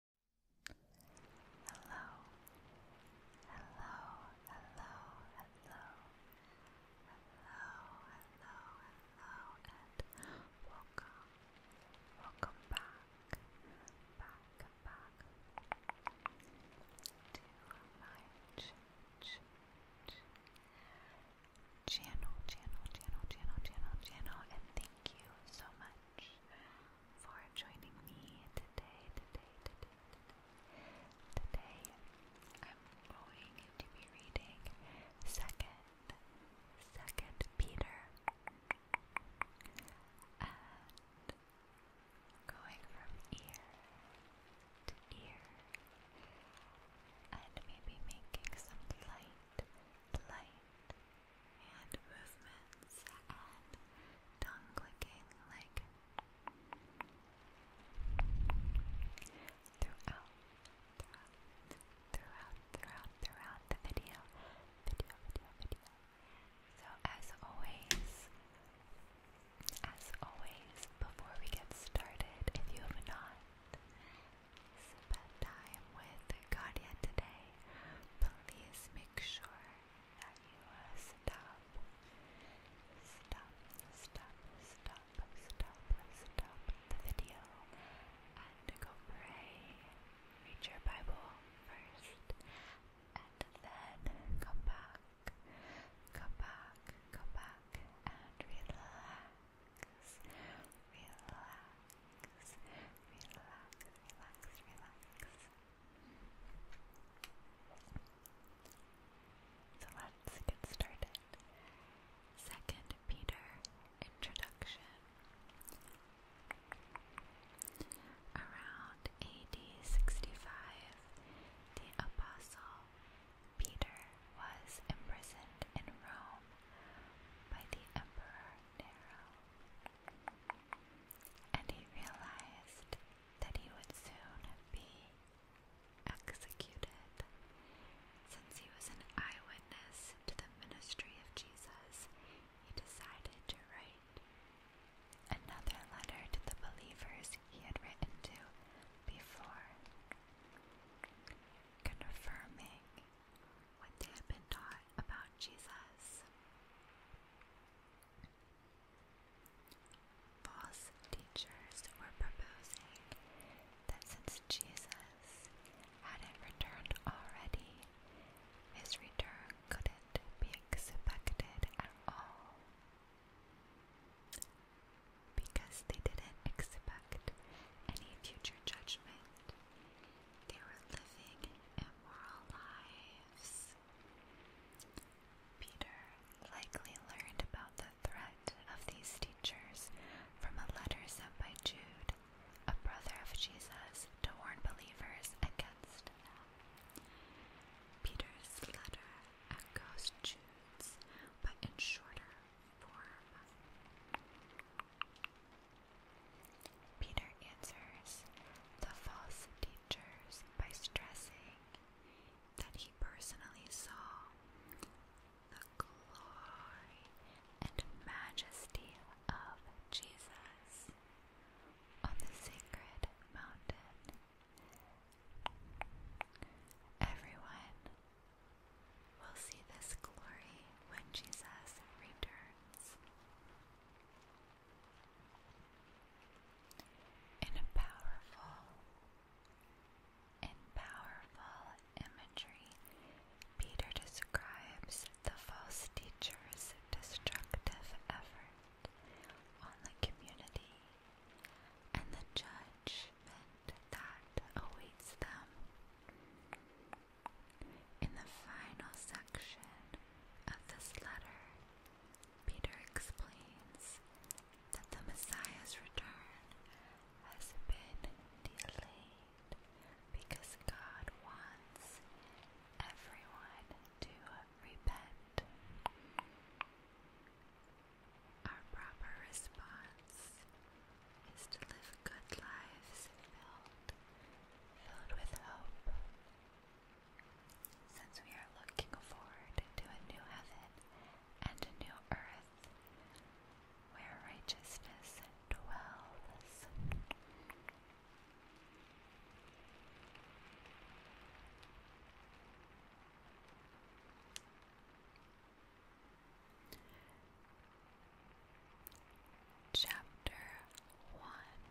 Hello, hello, hello, hello, hello, hello, hello, and welcome, welcome back, back, back to my channel, channel, channel, channel, channel, channel, and thank you so much for joining me today, today, today, today. I'm going to be reading Second, Second Peter, going from ear to ear, and maybe making some light, light hand movements and tongue clicking like throughout, throughout, throughout, throughout, throughout the video, video, video, video. So as always, as always, before we get started, if you have not spent time with Guardian today, please make sure that you uh, stop, stop, stop, stop, stop, stop the video and go pray. Read your Bible first and then come back, come back, come back and relax, relax. So let's get started. Second Peter Introduction. Around AD 65, the Apostle Peter was imprisoned in Rome by the Emperor Nero and he realized that he would soon be executed, since he was an eyewitness to the ministry of Jesus. He decided to write another letter to the believers he had written to before, confirming what they had been taught about Jesus. False teachers were proposing that since Jesus hadn't returned already, his return couldn't be expected at all. Because they didn't expect any future judgment, they were living immoral lives. Peter likely learned about the threat of these teachers from a letter sent by Jude, a brother of Jesus, to warn believers against them. Peter's letter echoes Jude's, but in shorter form. Peter answers the false teachers by stressing that he personally saw the glory and majesty of Jesus on the sacred mountain. Everyone will see this glory when Jesus returns in powerful in powerful imagery, Peter describes the false teacher's destructive effort on the community and the judgment that awaits them. In the final section of this letter, Peter explains that the Messiah's return has been delayed because God wants everyone to repent. Our proper response is to live good lives filled, filled with hope, since we are looking forward to a new heaven and a new earth where righteousness dwells. Chapter one.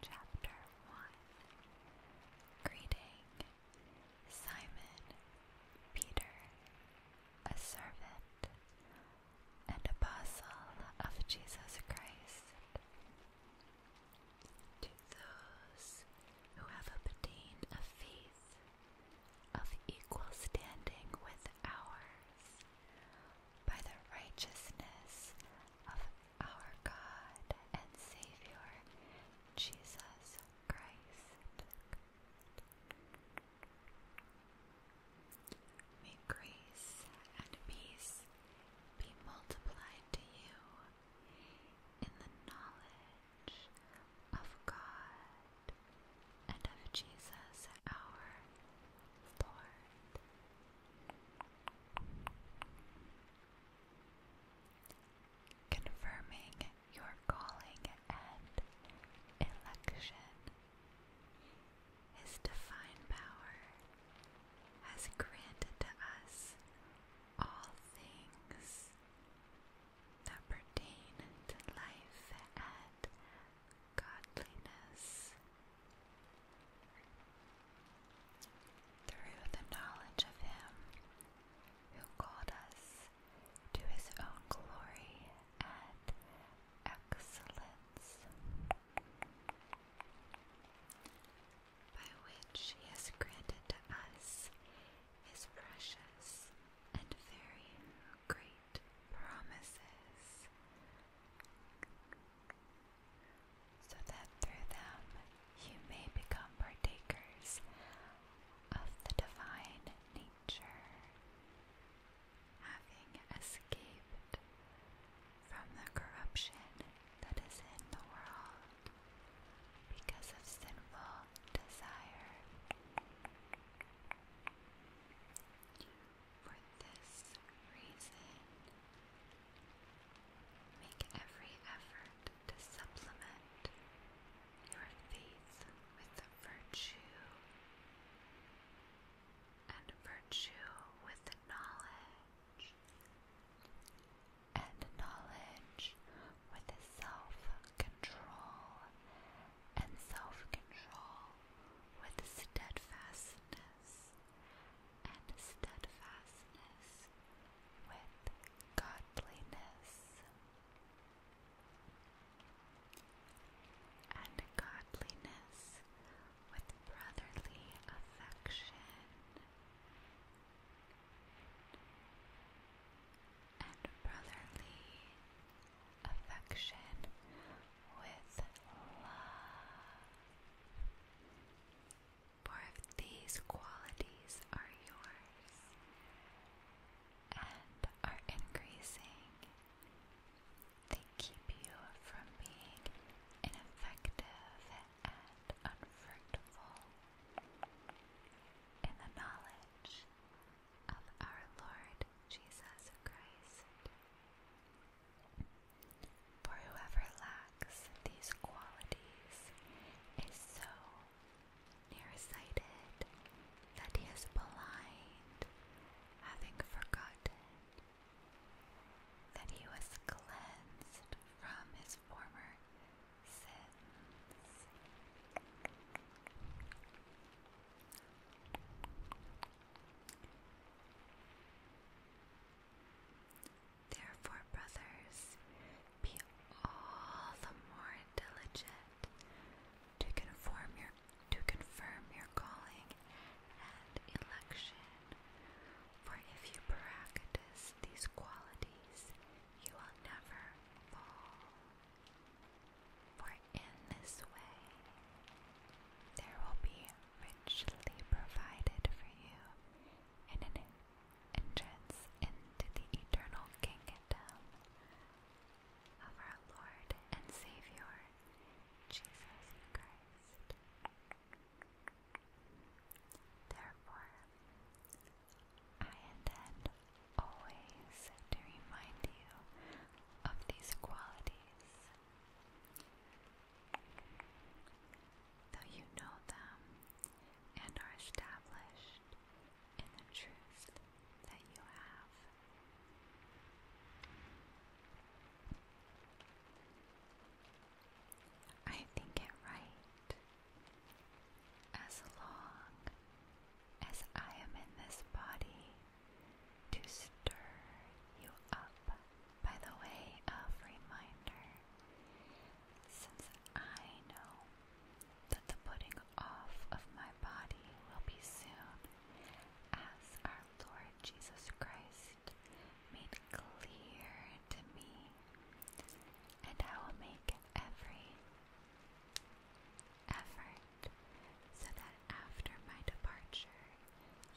Chapter one. Greeting, Simon Peter, a servant and apostle of Jesus Christ, to those who have obtained a faith of equal standing with ours by the righteousness of our God and Savior, Jesus Christ. May grace and peace be multiplied to you in the knowledge of God and of Jesus our Confirming your calling and election. His divine power has granted to us all things that pertain to life and godliness through the knowledge of Him who called us to His own glory and excellence, by which He has granted to us His precious and very great promises so that through them you may become partakers of the divine nature, having escaped from the corruption that is in the world because of sinful desire. For this reason, make every effort to supplement your faith with virtue, and virtue with knowledge, and knowledge with self-control, and self-control with steadfastness and steadfastness with godliness. And godliness with brotherly affection, and brotherly affection with love. For if these qualities are yours and are increasing, they keep you from being ineffective and unfruitful in the knowledge of our Lord Jesus Christ. For whoever lacks these qualities is so nearsighted that he is blind, having forgotten that he was cleansed from his former sins. Therefore, brothers, be all the more diligent to conform your to confirm your calling and election. For if you practice these qualities, you will never fall. For in this way, there will be richly provided for you in an entrance into the eternal kingdom of our Lord and Savior, Jesus Christ. Therefore, I intend always to remind you of these qualities though you know them and are established in the truth that you have. I think it right as long as I am in this body to stir you up by the way of reminder, since I know that the putting off of my body will be soon, as our Lord Jesus Christ made clear to me, and I will make every effort so that after my departure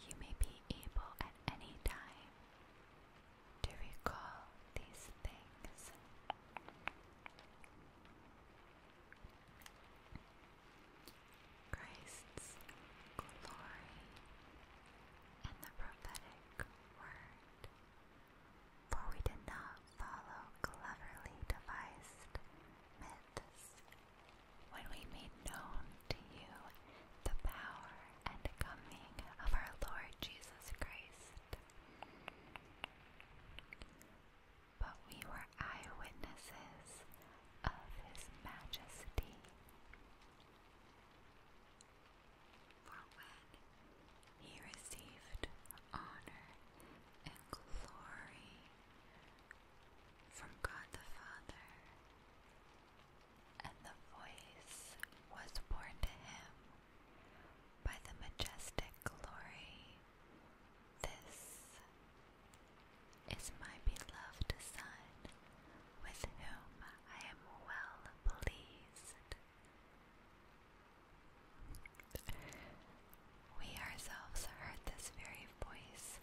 you may be able at any time to recall these things. Christ's glory and the prophetic word. For we did not follow cleverly devised myths when we made known to you the power and coming of our Lord Jesus Christ. But we were eyewitnesses of His majesty. For when he received honor and glory from God the Father, and the voice was borne to him by the majestic glory. This is my beloved Son, with whom I am well pleased. We ourselves heard this very voice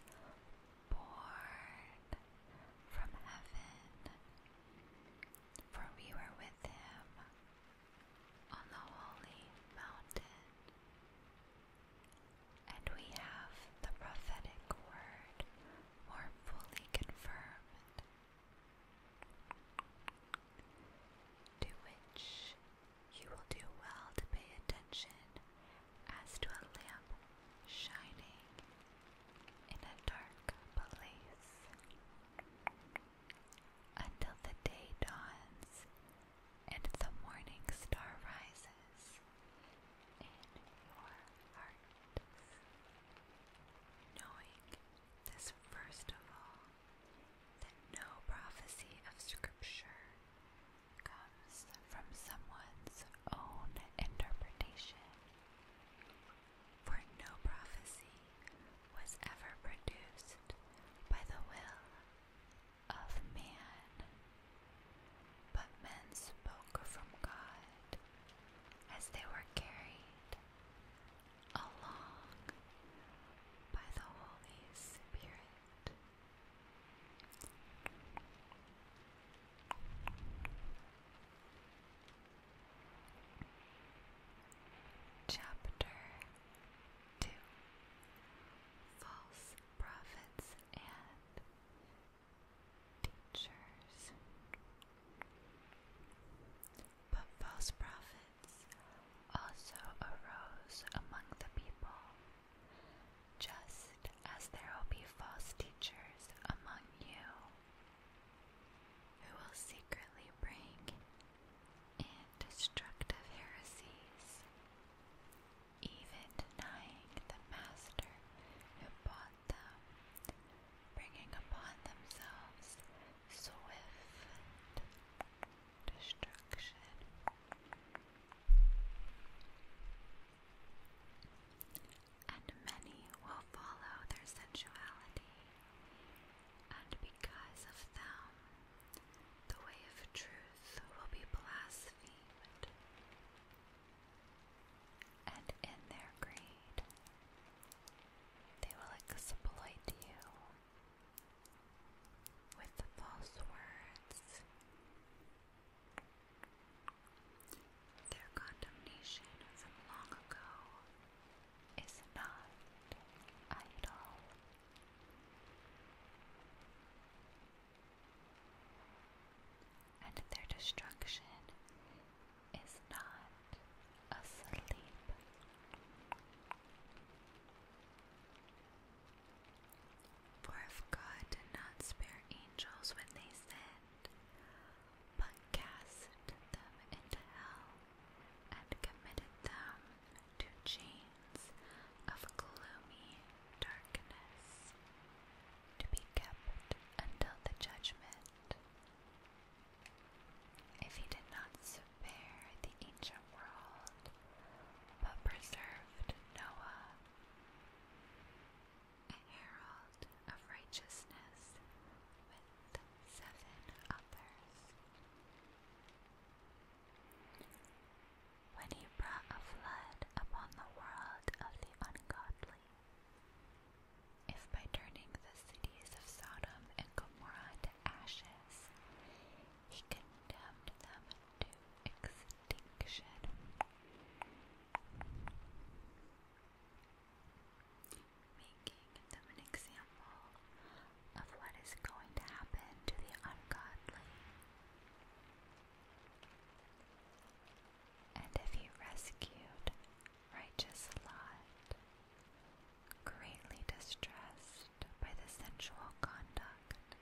born from heaven, for we were with him on the holy mountain. And we have the prophetic word more fully confirmed, to which you will do well to pay attention as to a lamp shining in a dark place. Until the day dawns and the morning star rises in your heart. Knowing this first of all, that no prophecy of Scripture comes from someone's own interpretation. For no prophecy was ever produced by the will of man, but men spoke from God as they were carried along by the Holy Spirit. Chapter 2 False Prophets and Teachers. But false prophets also arose among the people, just as there will be false teachers among you who will secretly bring in destructive heresies, even denying the master who bought them, bringing upon themselves swift destruction and many will follow their sensuality, and because of them, the way of truth will be blasphemed. And in their greed, they will exploit you with false words their condemnation from long ago is not idle. And their destruction is not asleep. For if God did not spare angels when they sinned, but cast them into hell and committed them to chains of gloomy darkness to be kept until the judgment. If he did not spare the ancient world, but preserved Noah, a herald of righteousness with seven others. When he brought a flood upon the world of the ungodly, if by turning the cities of Sodom and Gomorrah to ashes, he condemned them to extinction making them an example of what is going to happen to the ungodly. And if he rescued righteous Lot, greatly distressed by the sensual conduct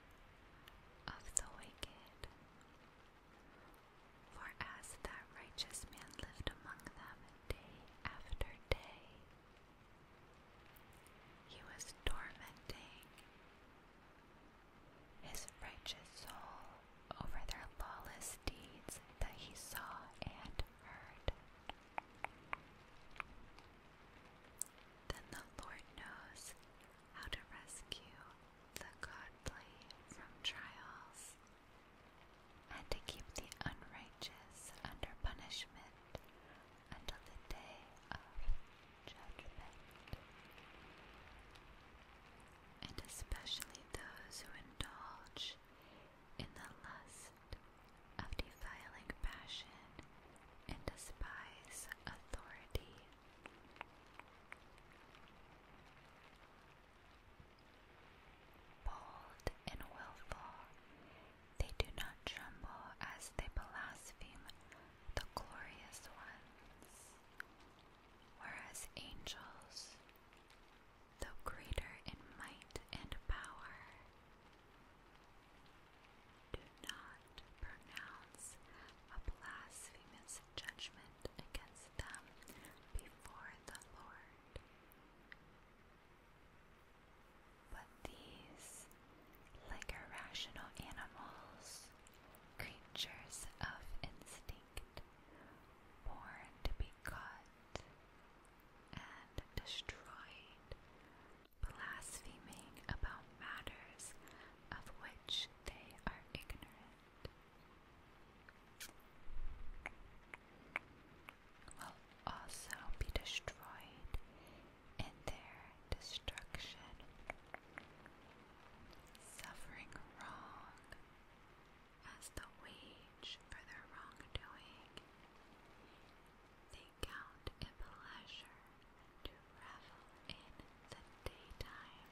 of the wicked, for as that righteous man lived among them day after day, he was tormenting his righteous soul over their lawless deeds that he saw and heard. Then the Lord knows how to rescue the godly from trials, and to keep the unrighteous under punishment until the day of judgment. And especially those who indulge in the lust of defiling passion and despise authority Bold and willful, they do not tremble as they blaspheme the glorious ones. Whereas angels, though greater in might and power, do not pronounce a blasphemous judgment against them before the Lord. But these, like irrational animals, creatures of instinct, born to be caught and destroyed, blaspheming about matters of which they are ignorant will also be destroyed in their destruction, suffering wrong as the wage for their wrongdoing. They count it pleasure revel in the daytime.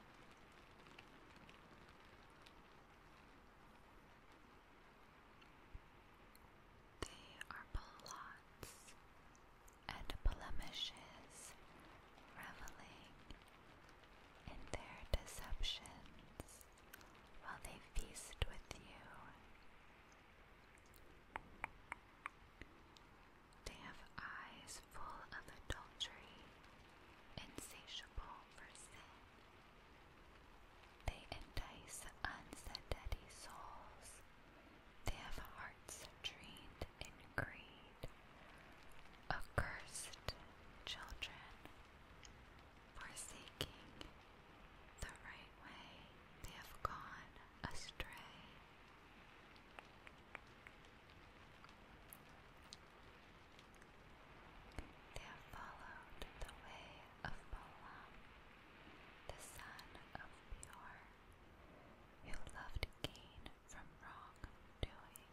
They are blots and blemishes, reveling in their deceptions while they feast with you. They have eyes full of adultery, insatiable for sin. They entice unsteady souls. They have hearts trained in greed. Accursed children, forsaking the right way, they have gone astray. There followed the way of Balaam, the son of Beor, who loved gain from wrong doing,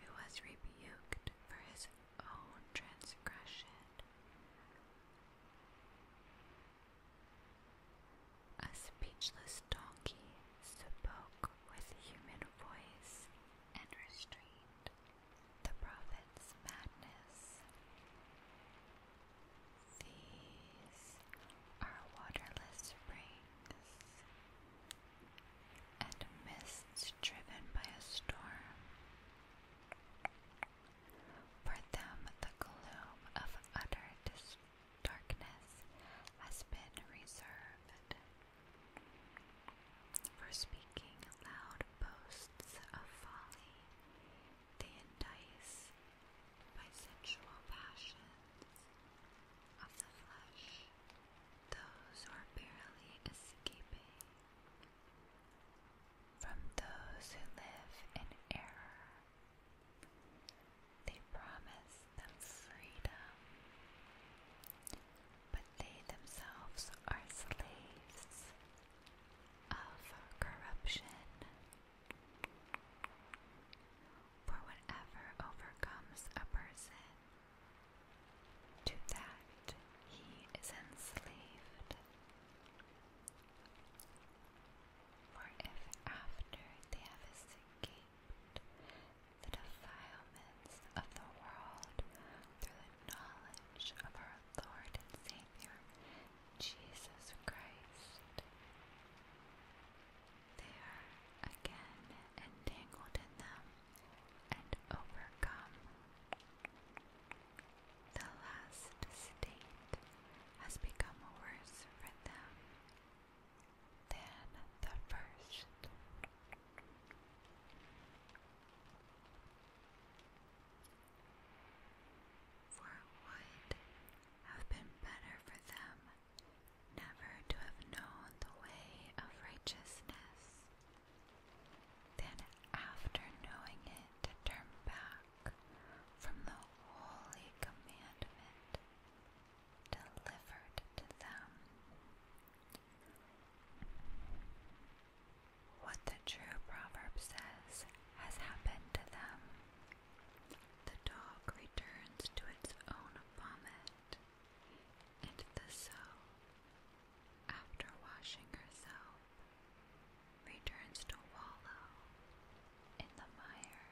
who was rebuked for his own transgression. A speechless donkey spoke with human voice and restrained the prophet's madness. These are waterless springs and mists driven by a storm. For them, the gloom of utter destruction darkness has been reserved for speaking loud boasts of folly. They entice by sensual passions of the flesh those are barely escaping from those who live in error they promise them freedom, but they themselves are slaves of corruption. For whatever overcomes a person, to that he is enslaved. For if after they have escaped the defilements of the world through the knowledge of our Lord and Savior, Jesus Christ. They are again entangled in them and overcome. The last state has become worse for them than the first. For it would have been better for them never to have known the way of righteousness than after knowing it to turn back from the holy commandment delivered to them. What the true proverb says has happened to them. The dog returns to its own vomit, and the sow, after washing herself, returns to wallow in the mire.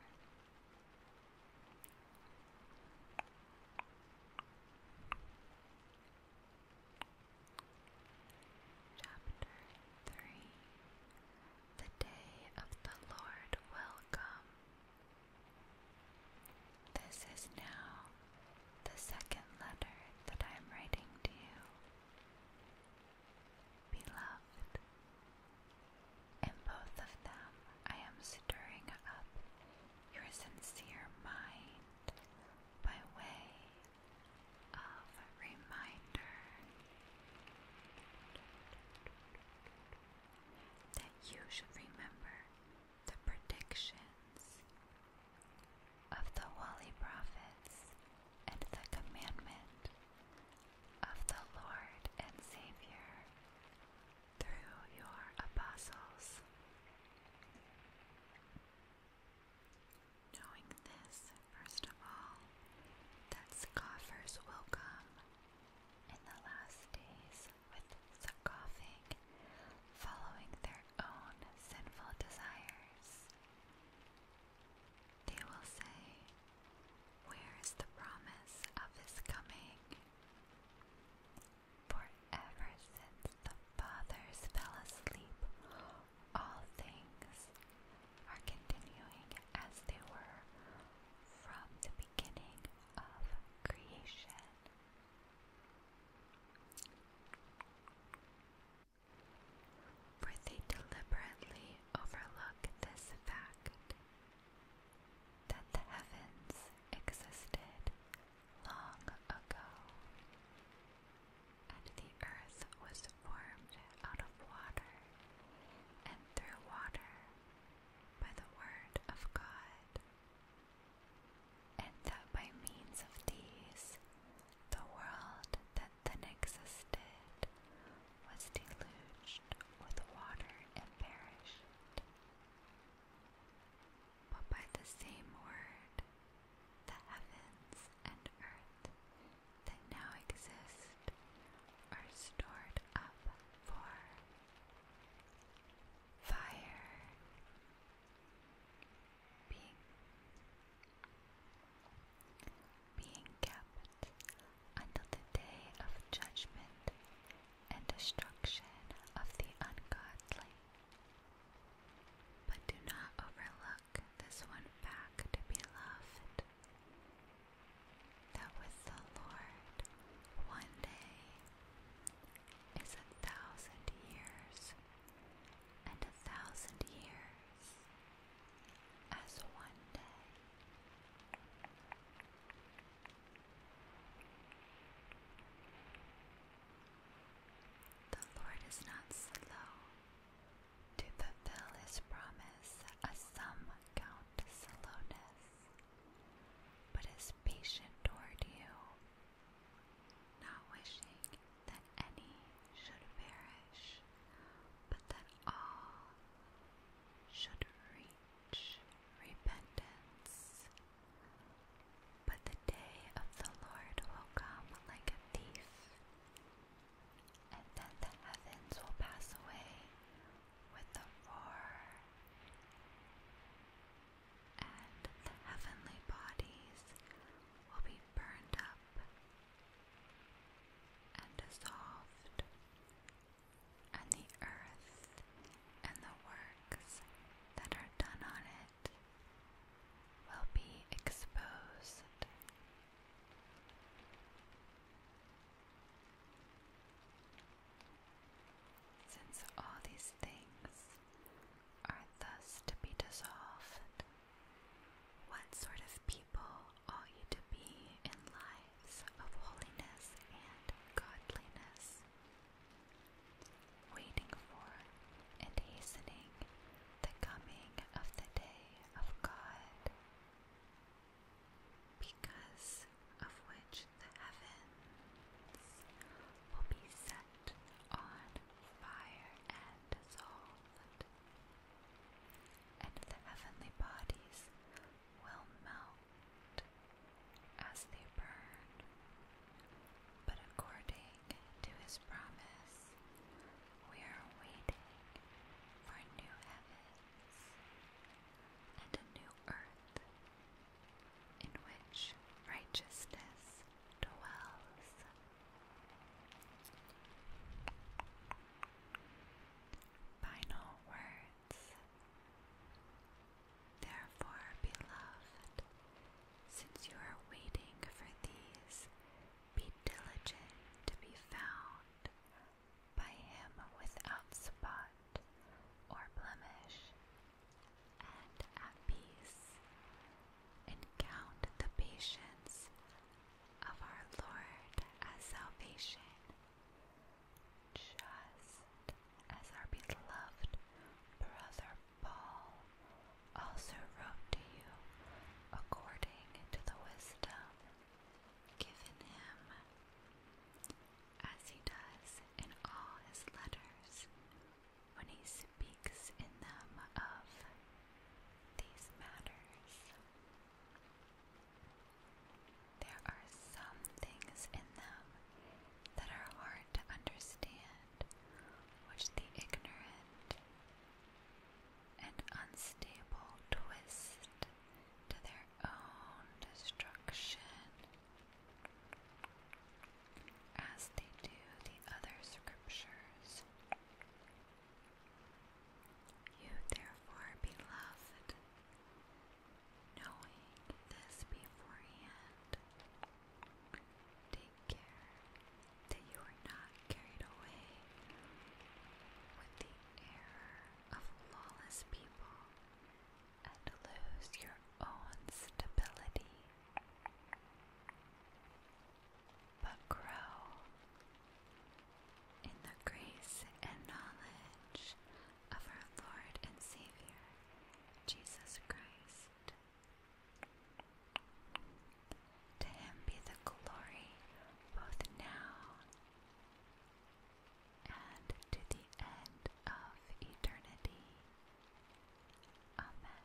Chapter 3 The Day of the Lord Will Come. This is now the second letter that I am writing to you. Beloved, in both of them, I am stirring up your sincere mind by way of reminder that you should remember the predictions of the holy prophets and the commandment of the Lord and Savior through your apostles. Knowing this, first of all, that scoffers will come in the last days with scoffing, following their own sinful desires. They will say, where is the promise of his coming? For ever since the fathers fell asleep, all things are continuing as they were from the beginning of creation. For they deliberately overlook this fact that the heavens existed long ago, and the earth was formed out of water and through water by the word of God, and that by means of these the world that then existed was deluged with water and perished. But by the same word, the heavens and earth that now exist are stored up for fire being being kept until the day of judgment and destruction of the ungodly. But do not overlook this one fact, beloved, that with the Lord one day is a thousand years, and a thousand years as one day. The Lord is not slow to fulfill his promise, as some count slowness, but is patient toward you, not wishing that any should perish, but that all should reach repentance. But the day of the Lord will come like a thief, and then the heavens will pass away with a roar, and the heavenly bodies will be burned up and dissolved, and the earth and the works that are done on it will be exposed. Since all these things are thus to be dissolved, what sort of people ought you to be in life? of holiness and godliness, waiting for and hastening the coming of the day of God, because of which the heavens will be set on fire and dissolved, and the heavenly bodies will melt as they burn. But according to his promise, we are waiting for a new heavens and a new earth in which righteousness dwells. Final word. Therefore, beloved, since you are waiting for these, be diligent to be found by him without spot or blemish, and at peace, and count the patience of our Lord as salvation, just as our beloved brother Paul also wrote to you according to the wisdom given him, as he does in all his letters when he speaks in them of these matters. There are some things in them that are hard to understand, which the ignorant and unstable twist to their own destruction, as they do the other scriptures. You, therefore, beloved, knowing this beforehand. Take care that you are not carried away with the error of lawless people and lose your own stability. But grow in the grace and knowledge of our Lord and Savior, Jesus Christ. To him be the glory both now and to the end of eternity. Amen.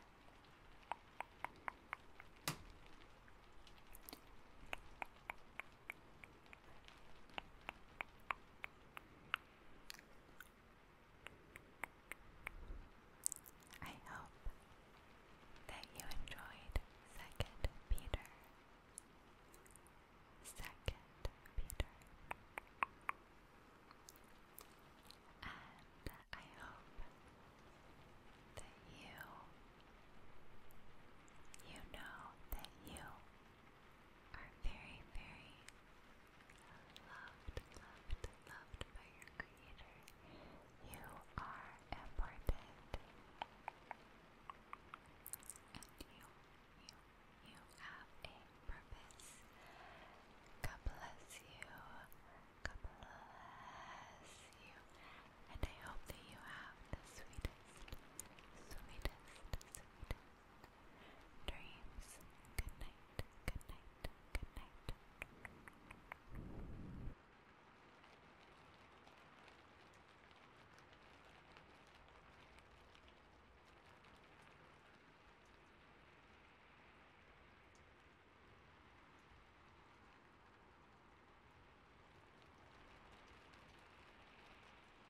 I hope that you enjoyed Second Peter. Second Peter. And I hope that you you know that you are very, very loved, loved, loved by your Creator. You are important. And you, you, you have a purpose. God bless you. God bless you. And I hope that you have the sweetest, sweetest, sweetest dreams. Good night, good night, good night.